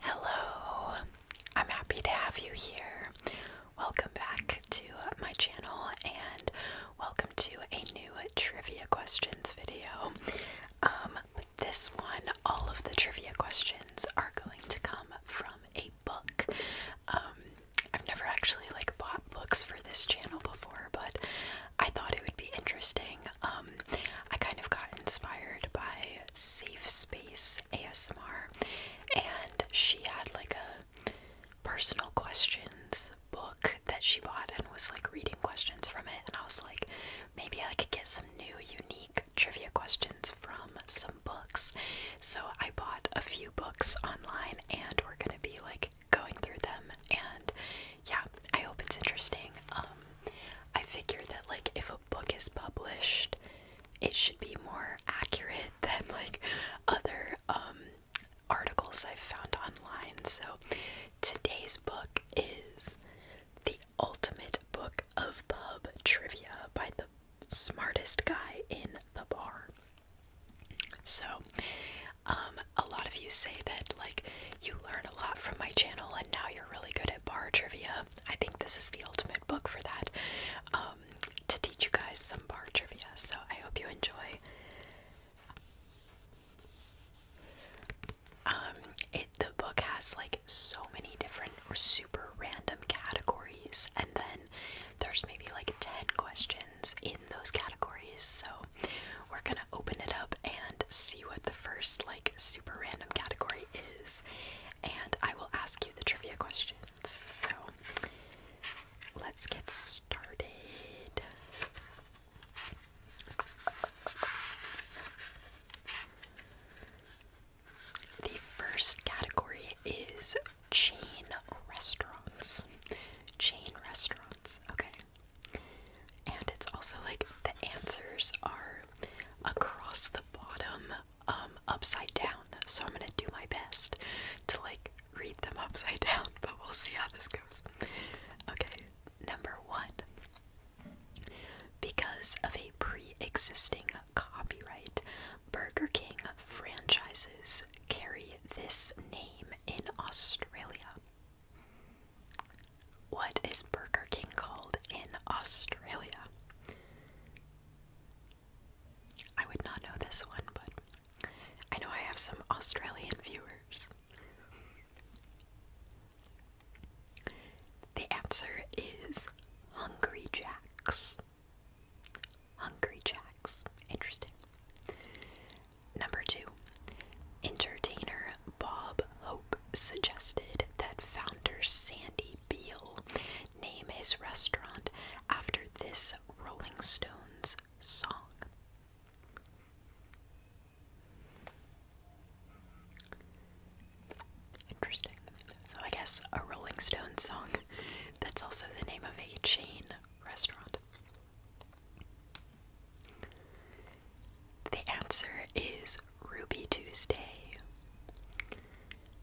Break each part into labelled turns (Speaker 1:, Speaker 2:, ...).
Speaker 1: Hello, I'm happy to have you here. Welcome back to my channel and welcome to a new trivia questions video. Um, this one, all of the trivia questions are going to come from a book. Um, I've never actually like bought books for this channel before, but I thought it would be interesting. Um, I kind of got inspired by safe space ASMR, and she had like a personal questions book that she bought and was like reading questions from it. And I was like, maybe I could get some new, unique trivia questions from some books. So I bought a few books online, and we're gonna be like going through them. And yeah, I hope it's interesting. Um, I figure that like if a book is published, it should be more accurate than like other um, articles I've found online. So today's book is The Ultimate Book of Pub Trivia by the Smartest Guy in the Bar. So, um, a lot of you say that like you learn a lot from my channel and now you're really good at bar trivia I think this is the ultimate book for that um, to teach you guys some bar trivia. So I hope you enjoy. Um, it the book has like so many different super random categories, and then there's maybe like ten questions in those categories. So we're gonna open it up and see what the first like super random category is, and I will ask you the trivia questions. So let's get started. The first category is chain restaurants. Chain restaurants, okay. And it's also like the answers are across the bottom um, upside down. So I'm going to do my best to like read them upside down, but we'll see how this goes. Okay, number 1. Because of a pre-existing copyright, Burger King franchises carry this name in Australia. What is Burger King called in Australia? I would not know this one, but I know I have some Australian viewers. The answer is Hungry Jacks. Hungry Jacks. Interesting. Number two. Entertainer Bob Hope suggested that founder Sandy Beal name his restaurant after this Rolling Stones song? Interesting. So, I guess a Rolling Stones song that's also the name of a chain restaurant. The answer is Ruby Tuesday.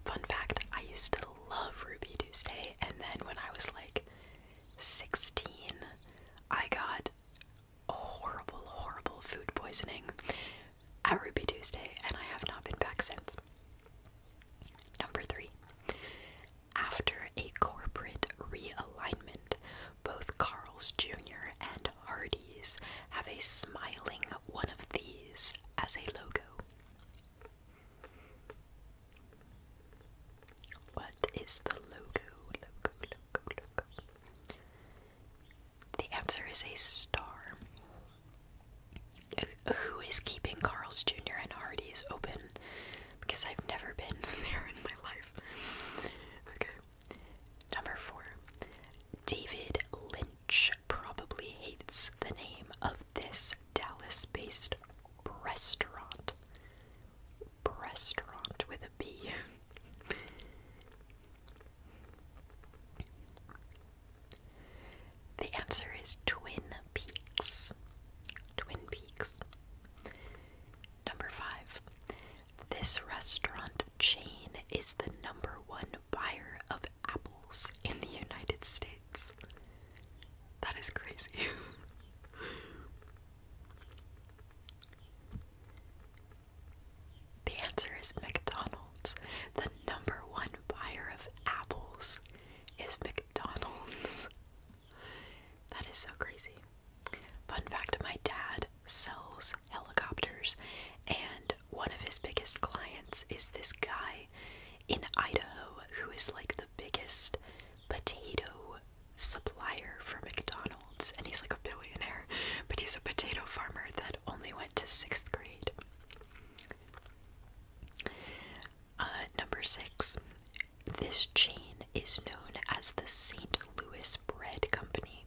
Speaker 1: Fun fact I used to love Ruby Tuesday, and then when I was like 16, I got horrible, horrible food poisoning at Ruby Tuesday, and I have not been back since. Number three. After a corporate realignment, both Carl's Jr. and and have a smiling one of these as a logo. What is the logo? The answer is a star. Uh, who is keeping Carl's Jr. and Hardee's open? Because I've never been there in my life. Okay. Number four. David Lynch probably hates the name of this Dallas based restaurant. Restaurant with a B. the answer is Twin Peaks. Twin Peaks. Number five. This restaurant chain is the number one buyer of apples in the United States. That is crazy. the answer is McDonald's. The number one buyer of apples is McDonald's. That is so crazy. Fun fact my dad sells helicopters, and one of his biggest clients is this guy in Idaho who is like the biggest potato supplier for McDonald's, and he's like a billionaire, but he's a potato farmer that only went to sixth grade. Uh, number six, this chain is known as the St. Louis Bread Company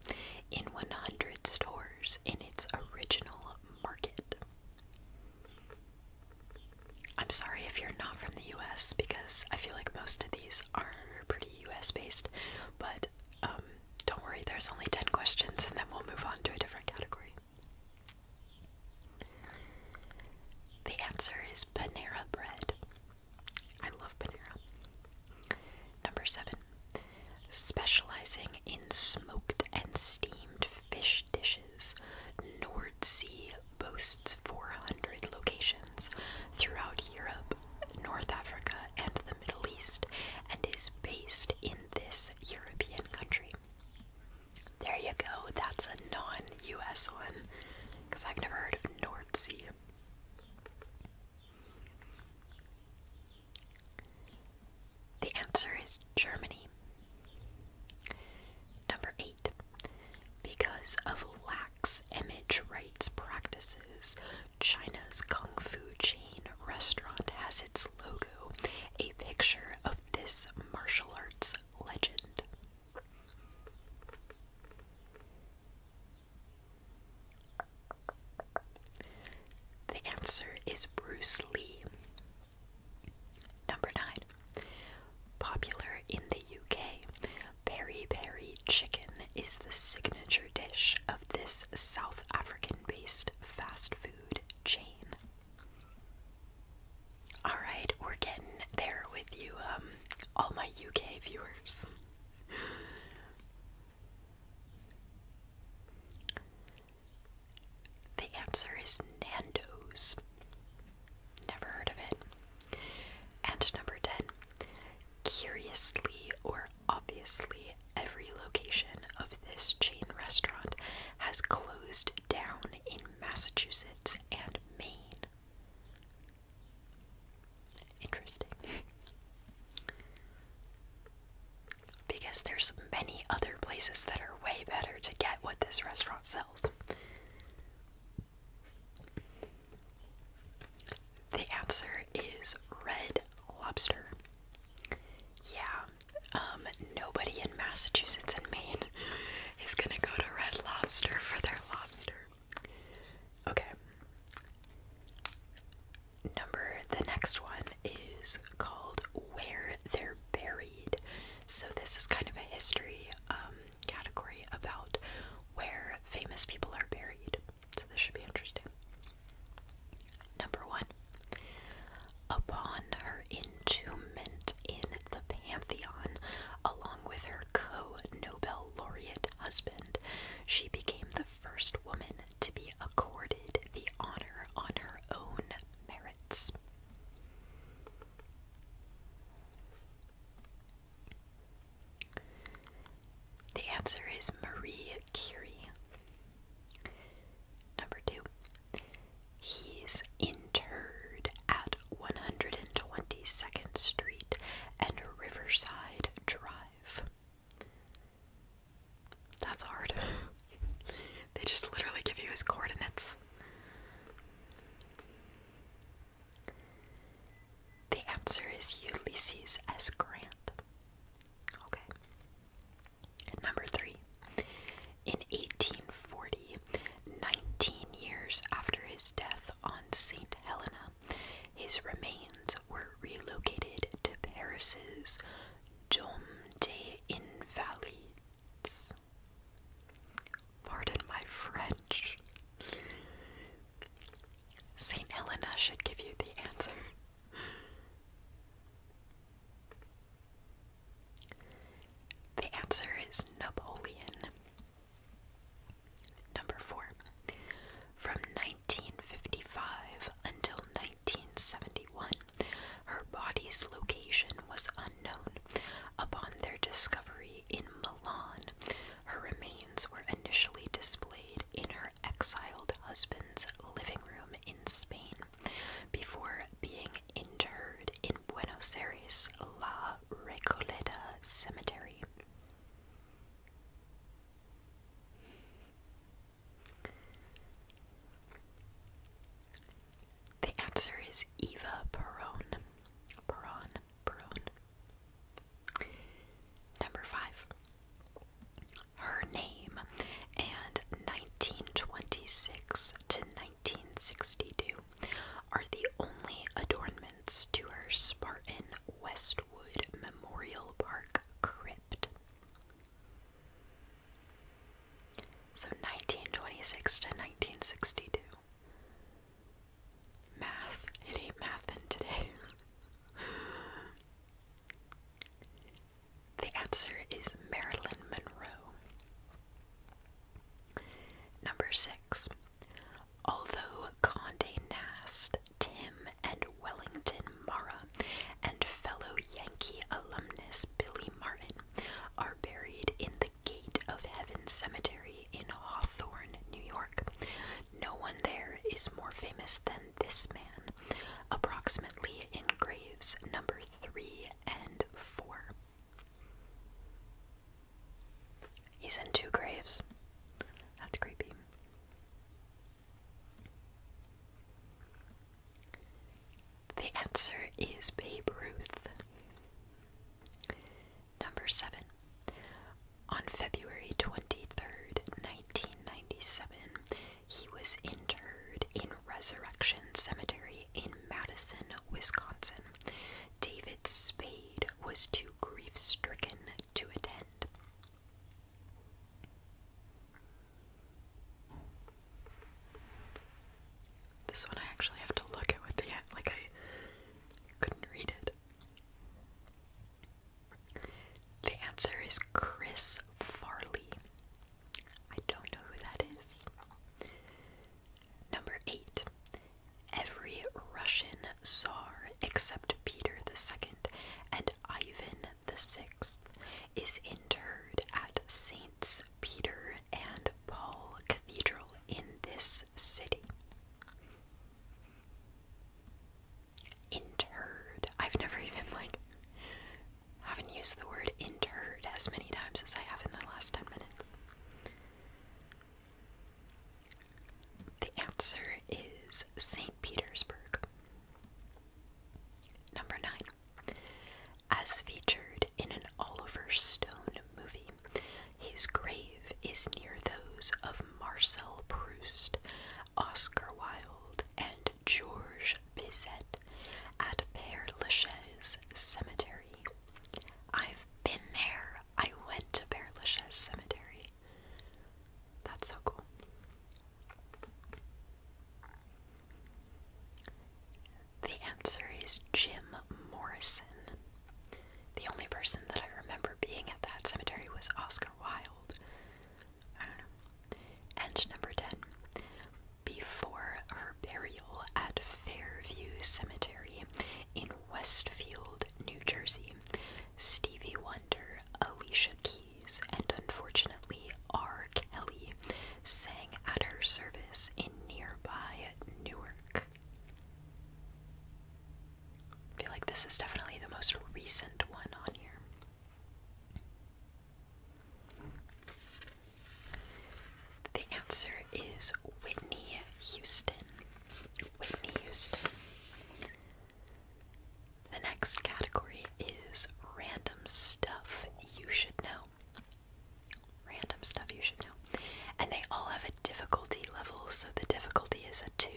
Speaker 1: in 100 stores in its original market. I'm sorry if you're not from the US because I feel like most of these are pretty US based, but um, don't worry, there's only 10 questions and then we'll move on to a different category. The answer is Panera Bread. I love Panera. Number seven specializing in smoked and steamed fish dishes. Nordsee boasts 400 locations throughout Europe, North Africa, and the Middle East, and is based in this European country. There you go, that's a non US one, because I've never heard of Nordsee. The answer is Germany. Number 8. Because of lax image rights practices, China's kung fu chain restaurant has its logo a picture of this martial arts legend. The answer is Bruce Lee. Number 9. Popular in the UK, peri peri chicken is the signature dish of this South African based fast food chain. Alright, we're getting there with you, um, all my UK viewers. The answer is Nando's. Never heard of it. And number 10. Curiously or obviously, every location of this chain restaurant has closed down in Massachusetts and Maine. Interesting because there's many other places that are way better to get what this restaurant sells. The answer is red lobster. Yeah, um, nobody in Massachusetts and Maine is gonna go to Red Lobster for their lobster. Okay number the next one is called Where They're Buried. So this is kind of a history um category about where famous people are buried. So this should be interesting. Number one. Upon her entombment in the Pantheon, along with her co Nobel laureate husband, she became the first woman to be accorded the honor on her own merits. The answer is Marie Curie. Number two, he's interred at 122nd Street and Riverside Drive. That's hard. they just literally give you his coordinates. The answer is Ulysses S. Grant. Okay. number three. In 1840, 19 years after his death on St. Helena, his remains were relocated to Paris's Dôme des Invalides. Pardon my French. St. Helena should give you the answer. The answer is Napoleon. Number four. From 1955 until 1971, her body's location was unknown. Upon their discovery in Milan, her remains were initially displayed in her exiled husband's living room in Spain before being interred in Buenos Aires' La Recoleta Cemetery. The answer is Eva Peron. Peron, Peron. Number five. Her name and 1926 to 1962 are the only adornments to her Spartan West Westwood Memorial Park crypt. So 1926 to 1962. Math. It ain't mathin' today. the answer is Marilyn Monroe. Number six. Although Condé Nast, Tim, and Wellington Mara and fellow Yankee alumnus Billy Martin are buried in the Gate of Heaven Cemetery in Hawthorne, New York. No one there is more famous than this man, approximately in graves number 3 and 4. He's in two graves. That's creepy. The answer is Babe Ruth. Number 7. On February 23rd, 1997, he was interred in Resurrection Cemetery in Madison, Wisconsin. David Spade was too grief stricken to attend. This one I actually have to look at with the like I couldn't read it. The answer is Chris Farley. I don't know who that is. Number 8. Every Russian Tsar except Peter the Second and Ivan the Sixth is interred at Saint Peter and Paul Cathedral in this city. Interred. I've never even like haven't used the word interred as many times as I have in the last 10 minutes. The answer is St. Petersburg. Number 9. As featured in an Oliver Stone movie, his grave is near those of Marcel Proust, Oscar Wilde, and George Bizet at Père Lachaise Cemetery. I've been there. I went to Père Lachaise Cemetery. That's so cool. The answer is Jim Morrison. The only person that I remember being at that cemetery was Oscar Wilde. And number 10. Before her burial at Fairview Cemetery in Westfield, New Jersey, Stevie Wonder, Alicia Keys, and unfortunately R. Kelly sang at her service in nearby Newark. I feel like this is definitely the most recent one on here. The answer is Whitney Houston. Whitney Houston. The next category is random stuff you should know. Random stuff you should know. And they all have a difficulty level, so the difficulty is a 2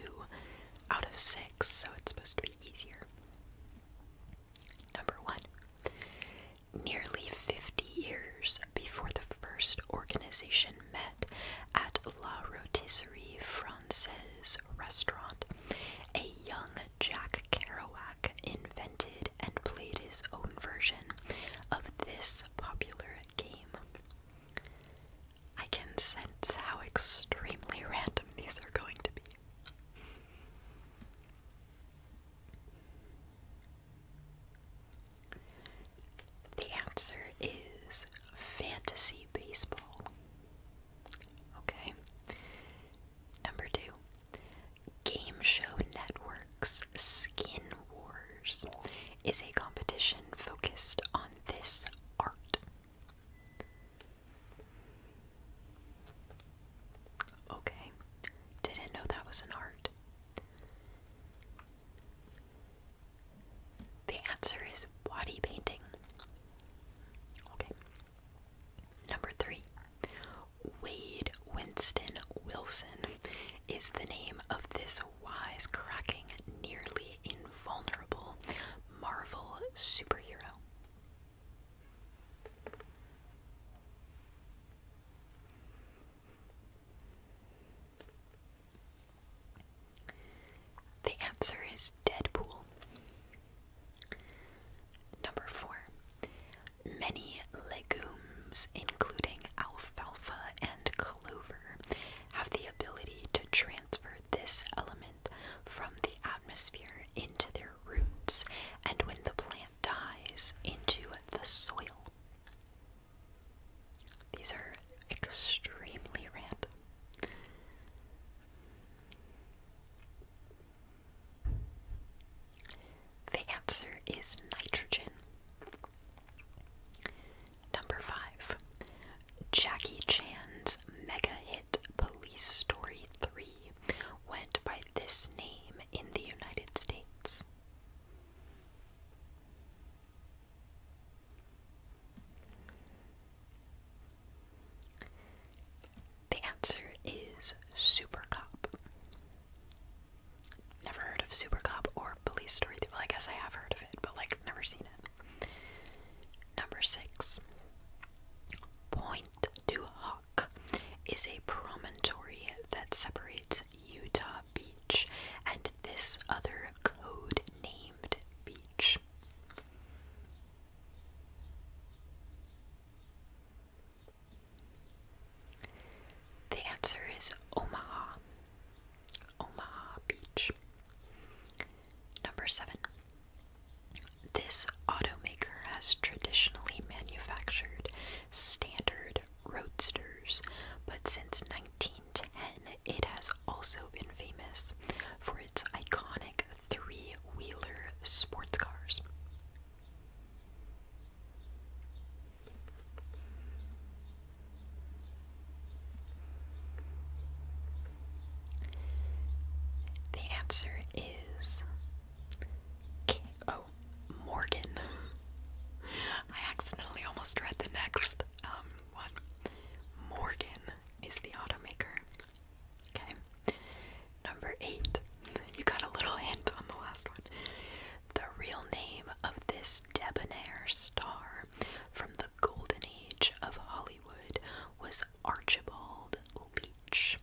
Speaker 1: out of 6, so it's supposed to be easier. Number 1. Nearly 50 years before the first organization met at La Rotisserie Francaise his restaurant, a young Jack Kerouac invented and played his own version of this popular game. I can sense how extremely random these are going to be. The answer is fantasy baseball. Okay. Number two, Game Show Network's Skin Wars is a competition focused on this art. Okay, didn't know that was an art. The answer is body painting. Okay. Number three, Wade Winston Wilson is the name of this wise, cracking, nearly invulnerable Marvel superhero. The answer is Deadpool. Number 4. Many legumes, including alfalfa and clover, have the ability to transfer this element from the atmosphere into their roots and when the plant dies into the soil. These are extremely random. The answer is nitrogen. Number 5. Jackie Chan's mega hit Police Story 3 went by this name in the United States. The answer is Super Cop. Never heard of Super Cop or Police Story. Well, I guess I have heard of it, but like never seen it. Number six. Point du Hoc is a promontory that separates Utah Beach and this other code named beach. The answer is Omaha. Omaha Beach. Number seven. This automaker has traditionally manufactured standard roadsters, but since 1910 it has also been famous for its iconic three wheeler sports cars. The answer is oh Morgan. I accidentally almost read the next um, one. Morgan is the automaker. Okay. Number eight. You got a little hint on the last one. The real name of this debonair star from the golden age of Hollywood was Archibald Leach.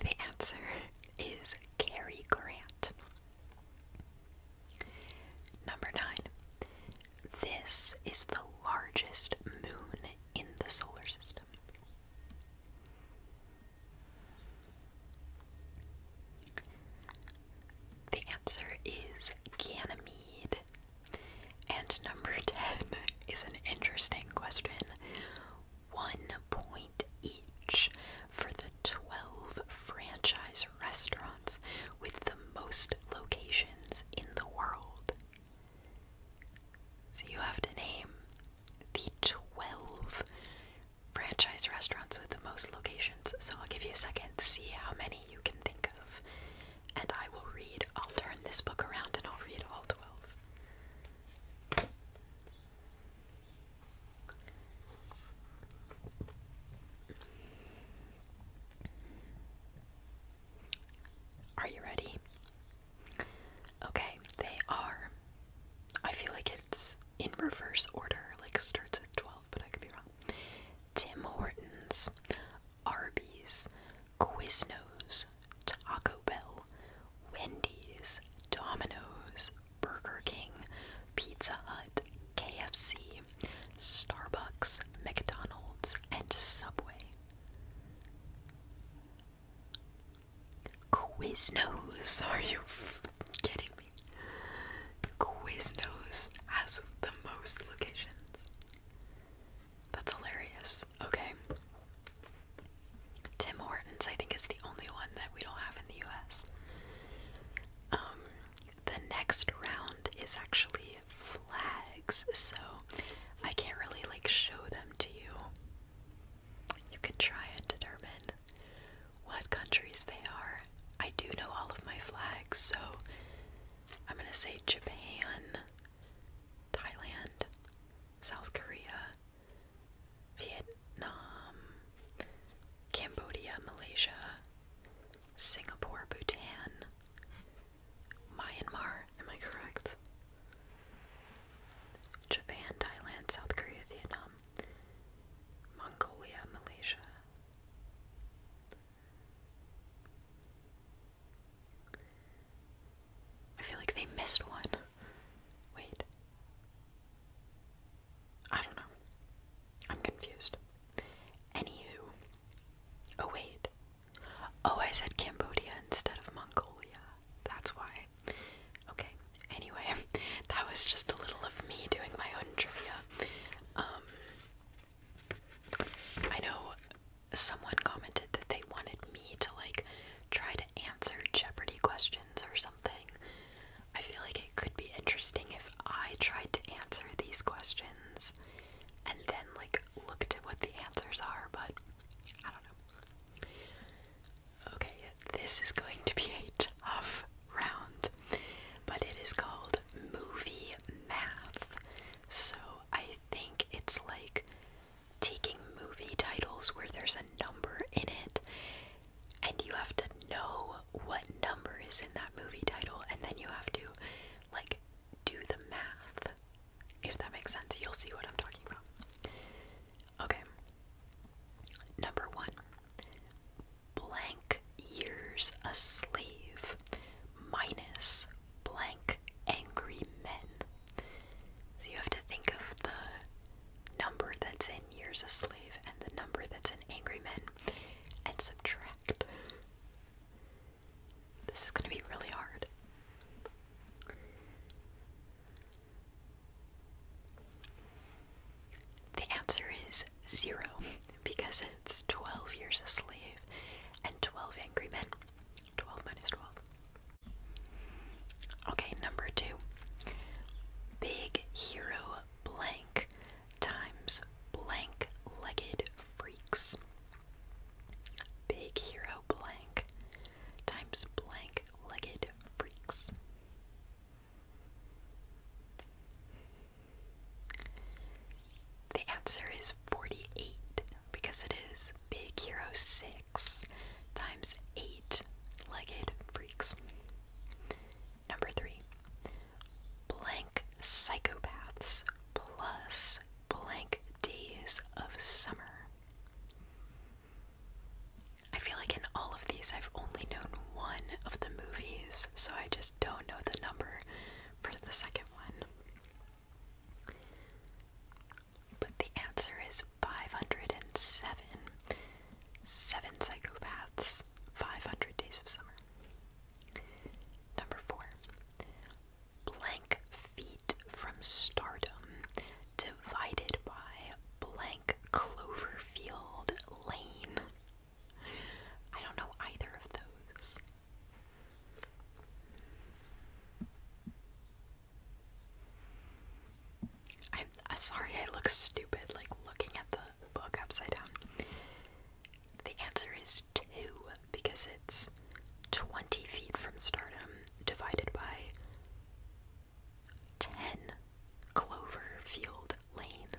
Speaker 1: The answer is Cary Grant. Number 9. This is the largest moon in the solar system. The answer is Ganymede. And number 10 is an interesting question one point each for the 12 franchise restaurants with the most locations in the world. So you have to name the 12 franchise restaurants with the most locations. So I'll give you a second to see how many you can think of. And I will read, I'll turn this book around and I'll read all 12. Are you ready? Okay, they are. I feel like it's in reverse order, like starts with 12, but I could be wrong. Tim Hortons, Arby's, Quiznos, Taco Bell, Wendy's, Domino's, Burger King, Pizza Hut, KFC, Starbucks, McDonald's, and Subway. Quiznos, are you kidding me? Quiznos has the most locations. That's hilarious. Okay. Tim Hortons, I think, is the only one that we don't have in the US. Um, the next round is actually flags, so I can't really like show them to you. You can try and determine what countries they are. I do know all of my flags, so I'm gonna say Japan, Thailand, South Korea, Vietnam, Cambodia, Malaysia, Singapore, Bhutan, Myanmar, am I correct? Japan, Thailand, South Korea, Vietnam, Mongolia, Malaysia. I feel like they missed one. Wait. I don't know. I'm confused. Anywho. Oh, wait. Oh, I said Cambodia instead of Mongolia. That's why. Okay. Anyway, that was just a little of me doing my own trivia. Um, I know someone commented that they wanted me to, like, try to answer Jeopardy questions or something. I feel like it could be interesting if I tried to answer these questions and then like looked at what the answers are, but I don't know. Okay, this is going to be a tough round, but it is called movie math. So I think it's like taking movie titles where there's a number in it and you have to know what number is in that movie title, and then you have to like do the math. If that makes sense, you'll see what I'm talking about. Okay. Number one blank years a slave minus blank angry men. So you have to think of the number that's in Years a Slave and the number that's in Angry Men and subtract. This is going to be really hard. The answer is zero because it's 12 years a slave and 12 angry men. 12 minus 12. Okay, number two. Big hero blank times blank legged freaks. Big hero blank times blank legged freaks. The answer is 48 because it is Big Hero 6 times 8 legged freaks. Number three, blank psychopaths plus blank days of summer. I feel like in all of these, I've only known one of the movies, so I just don't know the number for the second one. But the answer is 507. Seven Psychopaths, 500 Days of Summer. Number four, blank feet from stardom divided by blank Cloverfield Lane. I don't know either of those. I'm, uh, sorry I look stupid, like looking at the book upside down. The answer is 2 because it's 20 feet from stardom divided by 10 Cloverfield Lane.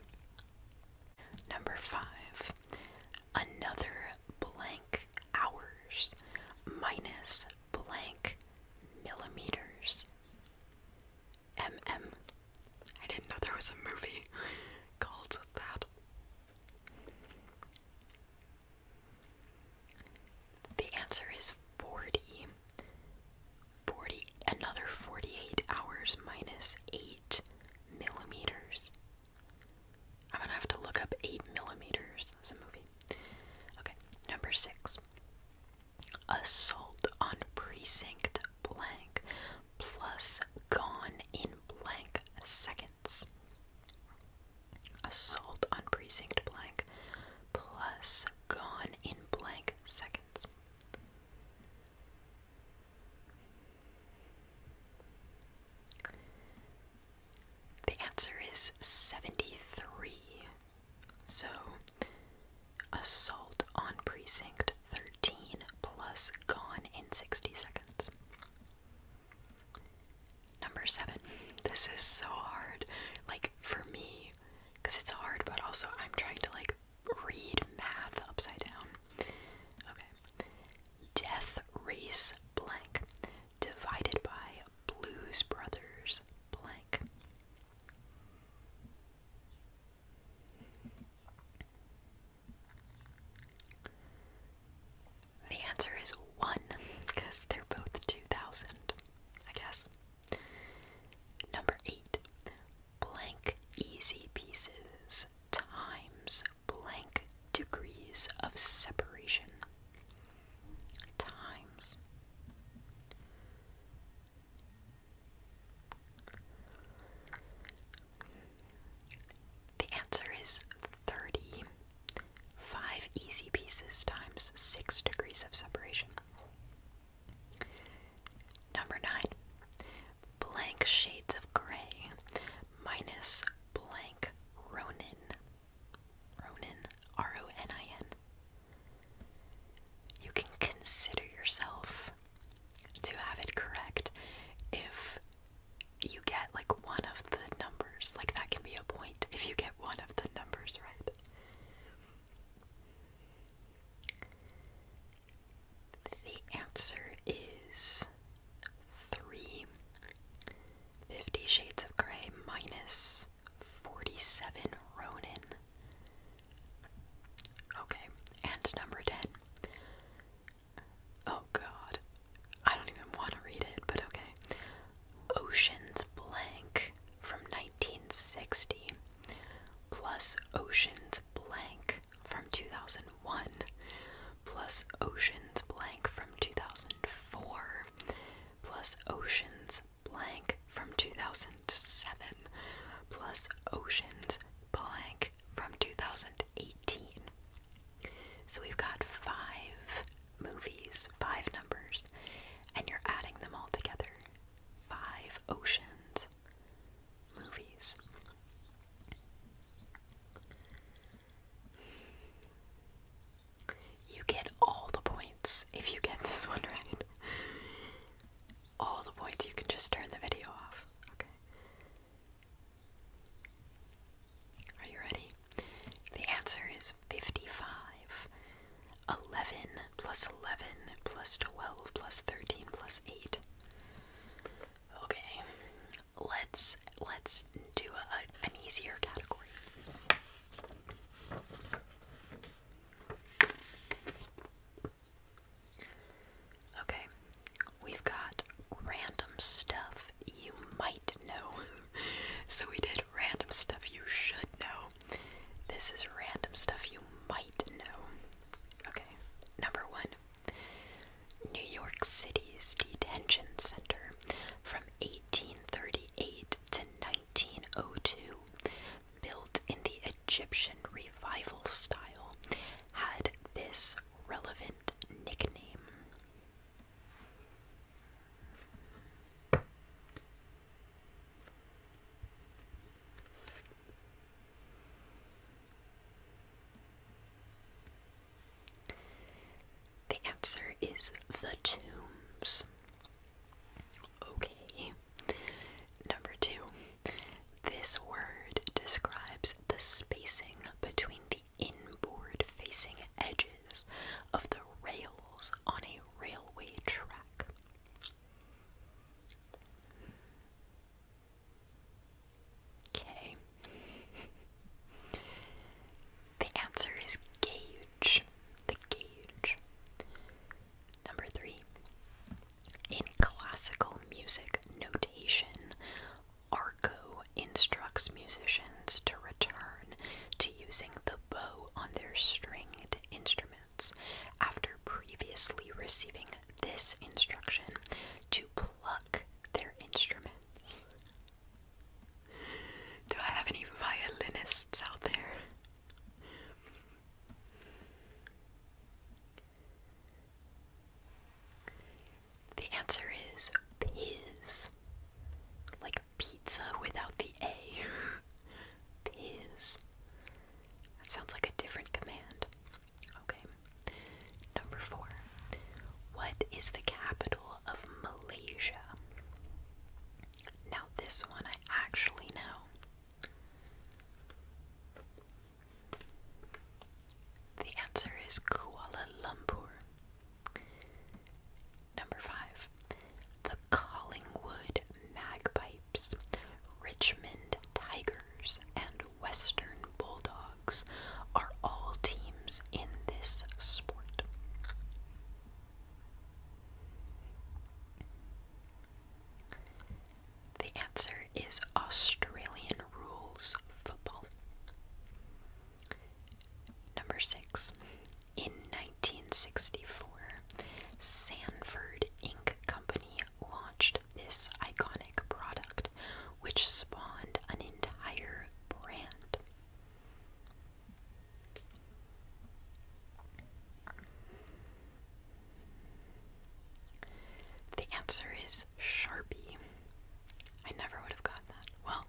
Speaker 1: Number 5. Another blank hours minus blank millimeters. MM. I didn't know there was a movie called that. The answer is 40. another 48 hours minus 8 millimeters. I'm gonna have to look up 8 millimeters as a movie. Okay, number six. Assault on Precinct Blank plus Gone in Blank Seconds. Assault on Precinct Blank plus Gone in Blank Seconds. The answer is 73. So, assault on precinct 13 plus gone in 60 seconds. Number seven. This is so hard, like for me, because it's hard, but also I'm trying to like read math upside down. Okay. Death race blank divided by Blues Brothers blank. The answer is one, because they're both 2000, I guess. Number eight, blank easy pieces times blank degrees of separation. Times the answer is 30. 5 easy pieces times 6 degrees of separation. Number 9. Blank shades of gray minus blank Ronin. Ronin, R O N I N, you can consider yourself to have it correct if you get like one of the numbers. Like that can be a point if you get one of the numbers right. The answer is 3. Fifty Shades of Grey minus 47 Ronin. Okay, and number 10. Oh god. I don't even want to read it, but okay. Ocean's Blank from 1960 plus Ocean's Blank from 2001 plus Ocean's Blank from 2004 plus Ocean's blank from 2007 plus Oceans blank from 2018. So we've got five movies, five numbers, and you're adding them all together. Five Oceans movies. You get all the points if you get this one right. All the points, you can just turn the video off. Okay. Are you ready? The answer is 55. 11 plus 11 plus 12 plus 13 plus 8. Okay. Let's let's do an easier category. Okay, we've got random stuff you might know. so we did random stuff you should know. This is random stuff you might know. Okay, number one New York City's detention center from 1838 to 1902 built in the Egyptian revival style, had this relevant nickname. The answer is the tombs. Okay, Number two, this word describes the spacing between the inboard facing edges of the rails on a railway track. Okay. the answer is gauge. The gauge. Number three, in classical music notation, arco instructs musicians to return to using the bow on their stringed instruments after previously receiving this instruction to pluck their instruments. Do I have any violinists out there? The answer is piz. Like pizza without the A. piz. sounds like a different command. Okay. Number four. What is the capital of Malaysia? Now, this one I actually know. The answer is Kuala Lumpur. Number five, the Collingwood Magpipes, Richmond Tigers, and Western Bulldogs are all teams in this sport. The answer is Australian rules football. Number six. In 1964, Sanford Inc. Company launched this iconic product, which spawned an entire brand. The answer is Sharpie. I never would have got that. Well,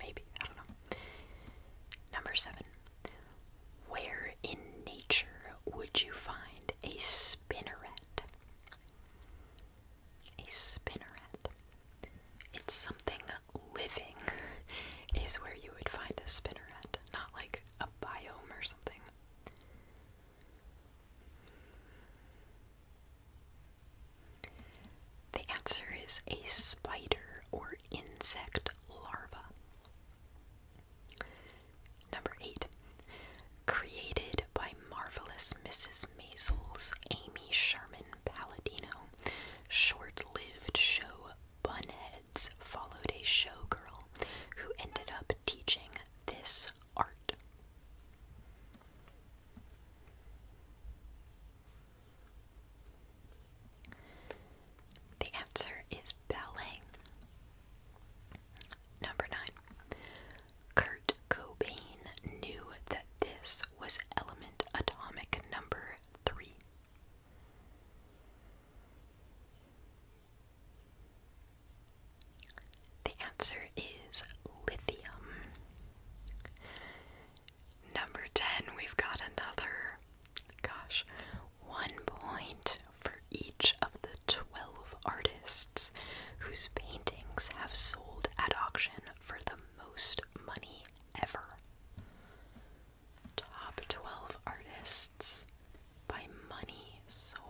Speaker 1: maybe. I don't know. Number seven. Where in nature would you find a spinneret? A spinneret. It's something living is where you would find a spinneret, not like a biome or something. The answer is a spider or insect larva. Number 8. Created by marvelous Mrs. Maisel's Amy Sherman Palladino, short lived show Bunhead followed a showgirl who ended up teaching this art. The answer is ballet. Number nine. Kurt Cobain knew that this was element atomic number three. The answer is lithium. Number 10, we've got another, gosh, one point for each of the 12 artists whose paintings have sold at auction for the most money ever. Top 12 Artists by Money Sold.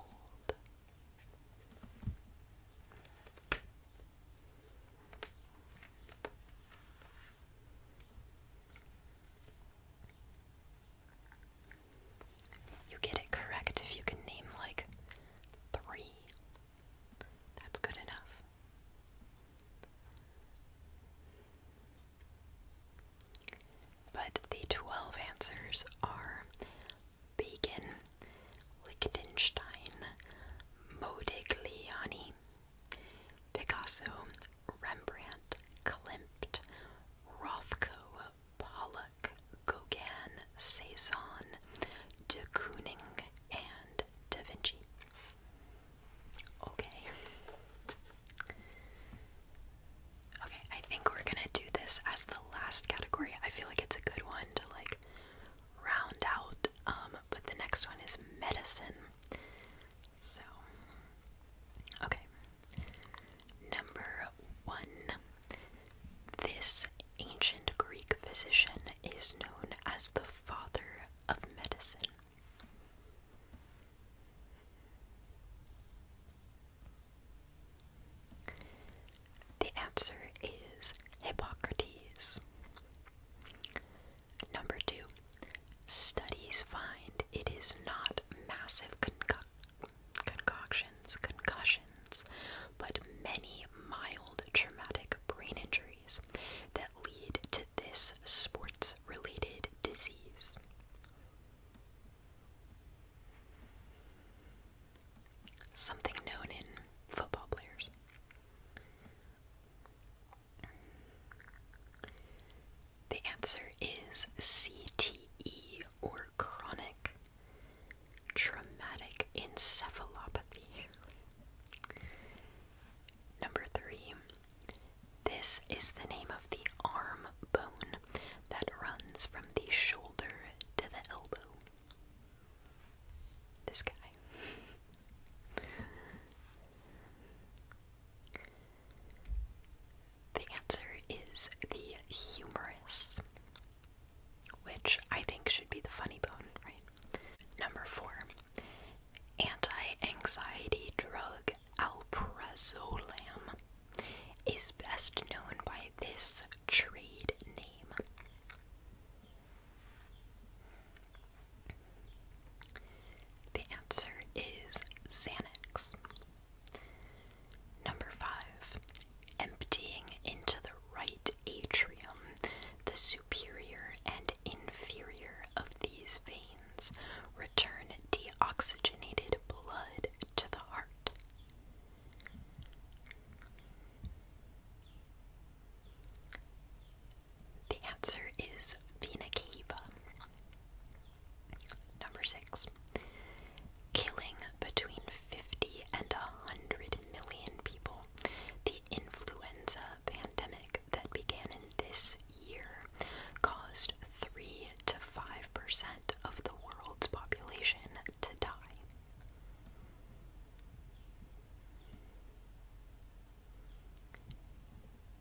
Speaker 1: You get it correct if you can name like three. That's good enough. But the 12 answers are Bacon, Liechtenstein, Modigliani, Picasso, Rembrandt, Klimt, Rothko, Pollock, Gauguin, Cezanne, de Kooning, and Da Vinci. Okay. Okay, I think we're gonna do this as the last category. I feel like it's a good one to like round out. Um, but the next one is medicine. So okay. Number one. This ancient Greek physician is known as the father of medicine. The answer is Hippocrates. Number two, studies find it is not massive concoctions, concussions, but many mild traumatic brain injuries that lead to this sports related disease. Something known in football players. The answer is CTE or chronic traumatic encephalopathy. Number three, this is the name of the arm bone that runs from the shoulder to the elbow. This guy. the answer is the humerus, which I think should be the funny bone, right? Number four. Anti anxiety drug alprazolam is best known by this trade name. The answer is Xanax. Number five, emptying into the right atrium the superior and inferior of these veins return deoxygenated blood to the heart. The answer is vena cava. Number six, killing between 50 and 100 million people. The influenza pandemic that began in this year caused 3 to 5% of the world's population to die.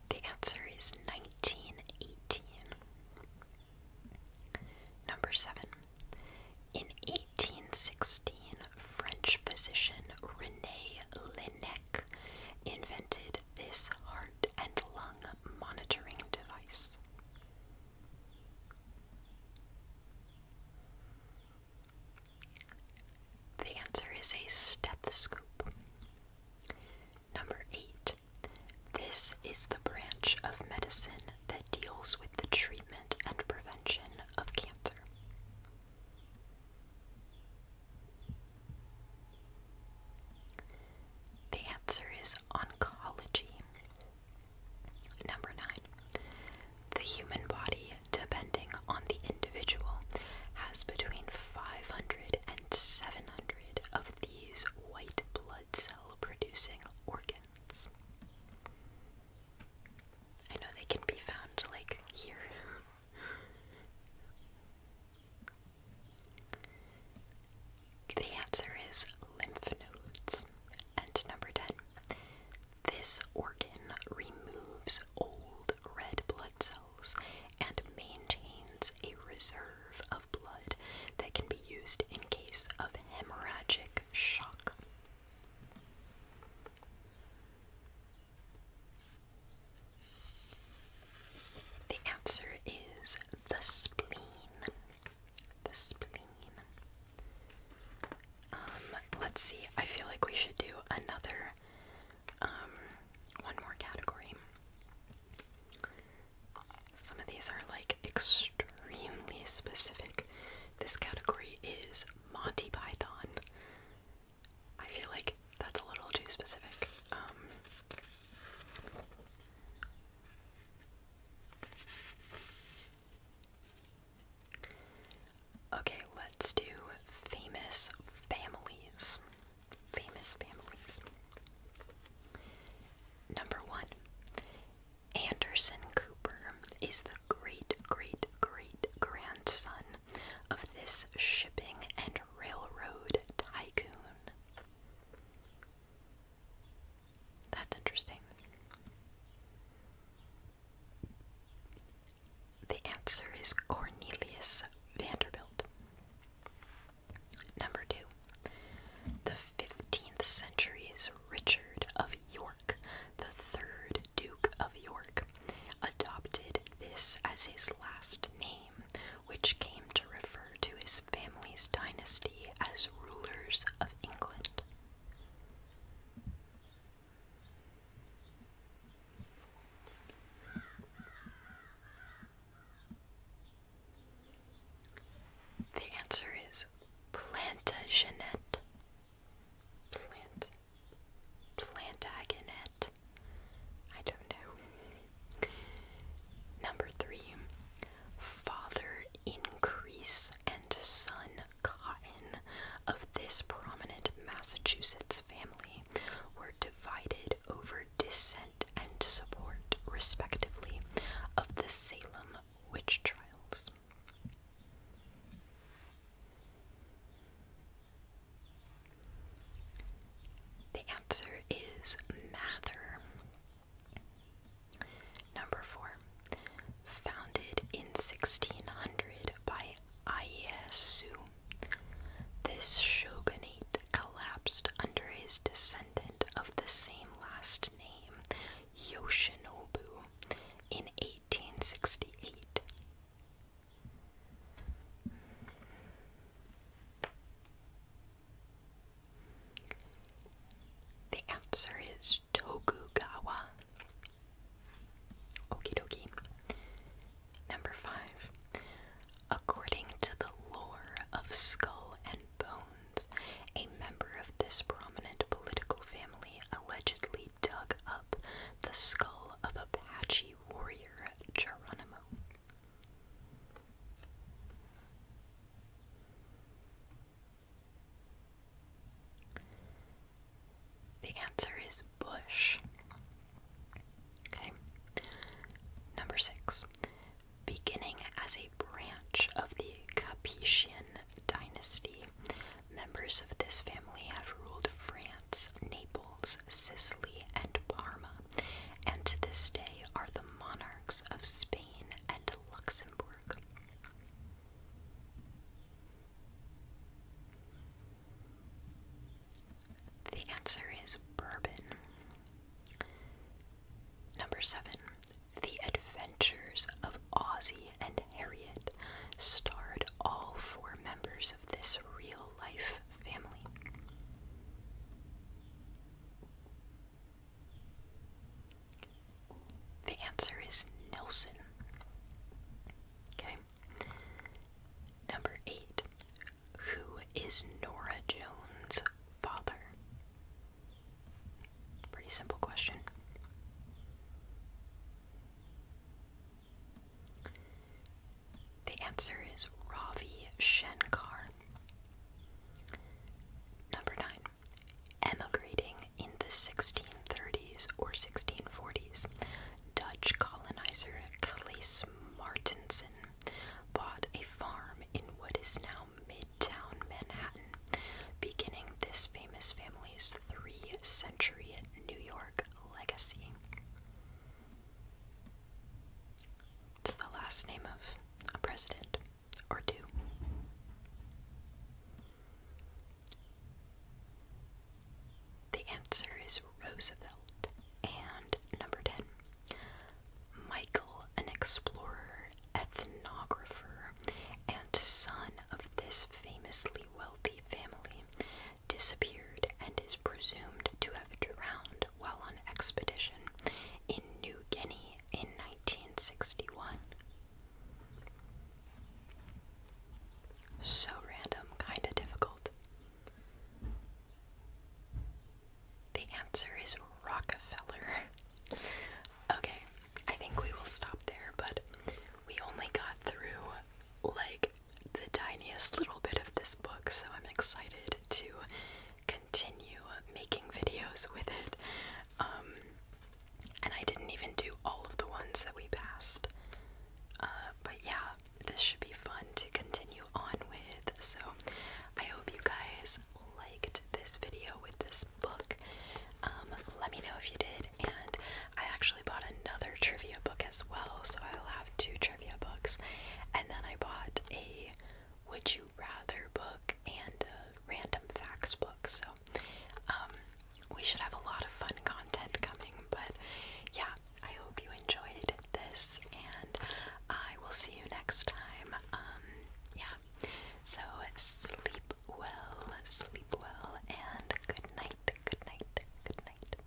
Speaker 1: The answer is 1918. Number 7. In 1816, French physician René Laennec invented this heart and lung monitoring device. The answer is a stethoscope. Number 8. This is the branch of medicine that deals with the treatment and prevention of cancer. The answer is oncology. Number nine. The human body, depending on the individual, has between 500 and 700 of these white blood cell producing organs. I know they can be found like here the answer is lymph nodes. And number 10. This organ removes old red blood cells and maintains a reserve of blood that can be used in case of hemorrhagic shock. The answer is the spleen. The spleen. Um, let's see. I feel like we should do another, um, one more category. Some of these are like extremely specific. This category is Monty Python. I feel like that's a little too specific. Um, okay, let's do famous families. Famous families. Number one, Anderson Cooper is the great, great, great grandson of this shipping and railroad tycoon. That's interesting. The answer is Cornelius Vanderbilt. Number two, the 15th century's Richard of York, the third Duke of York, adopted this as his last name which came to refer to his family's dynasty as rulers of England. The answer is Plantagenet. Plant Plantagenet. I don't know. Number three, father increase and son cotton of this prominent Massachusetts family were divided over dissent and support, respectively, of the Salem witch trials. The answer is Mather. Number four, founded in 1600 by Ieyasu, this shogunate collapsed under his descendant of the same last name, Yoshinobu, in 1868. The answer is Tokugawa. Okie dokie. Number five. According to the lore of Skull and Bones, a member of this prominent political family allegedly dug up the skull of Apache warrior Geronimo. The answer is bush. Okay. Number six. Beginning as a branch of the Capetian dynasty, members of this family have ruled France Naples, Sicily, and Parma, and to this day are the monarchs of Spain and Luxembourg. The answer is bourbon. Number seven, The Adventures of Ozzie and Harriet starred all four members of this real life family. The answer is Nelson. Okay. Number eight. Who is Nora Jones' father? Pretty simple question. The answer is Ravi Shankar. Number 9. Emigrating in the 1630s or 1640s, Dutch colonizer Claes Martensen bought a farm in what is now Midtown Manhattan, beginning this famous family's three century New York legacy. It's the last name of a president or two. The answer is Roosevelt. And number 10, Michael, an explorer, ethnographer, and son of this famously wealthy family, disappeared and is presumed to have drowned while on expedition in New Guinea in 1961. So random, kinda difficult. The answer is Rockefeller. okay, I think we will stop there, but we only got through like the tiniest little bit of this book, so I'm excited to continue making videos with it. Um, and I didn't even do all of the ones that we passed. Uh, but yeah, this should be fun to continue on with. So I hope you guys liked this video with this book. Um, let me know if you did. And I actually bought another trivia book as well, so I'll have two trivia books. And then I bought a Would You Rather book and a random facts book. So um, we should have a lot of fun content coming. But yeah, I hope you enjoyed this and I will see you next time. Um, yeah. So sleep well, sleep well, and good night, good night, good night.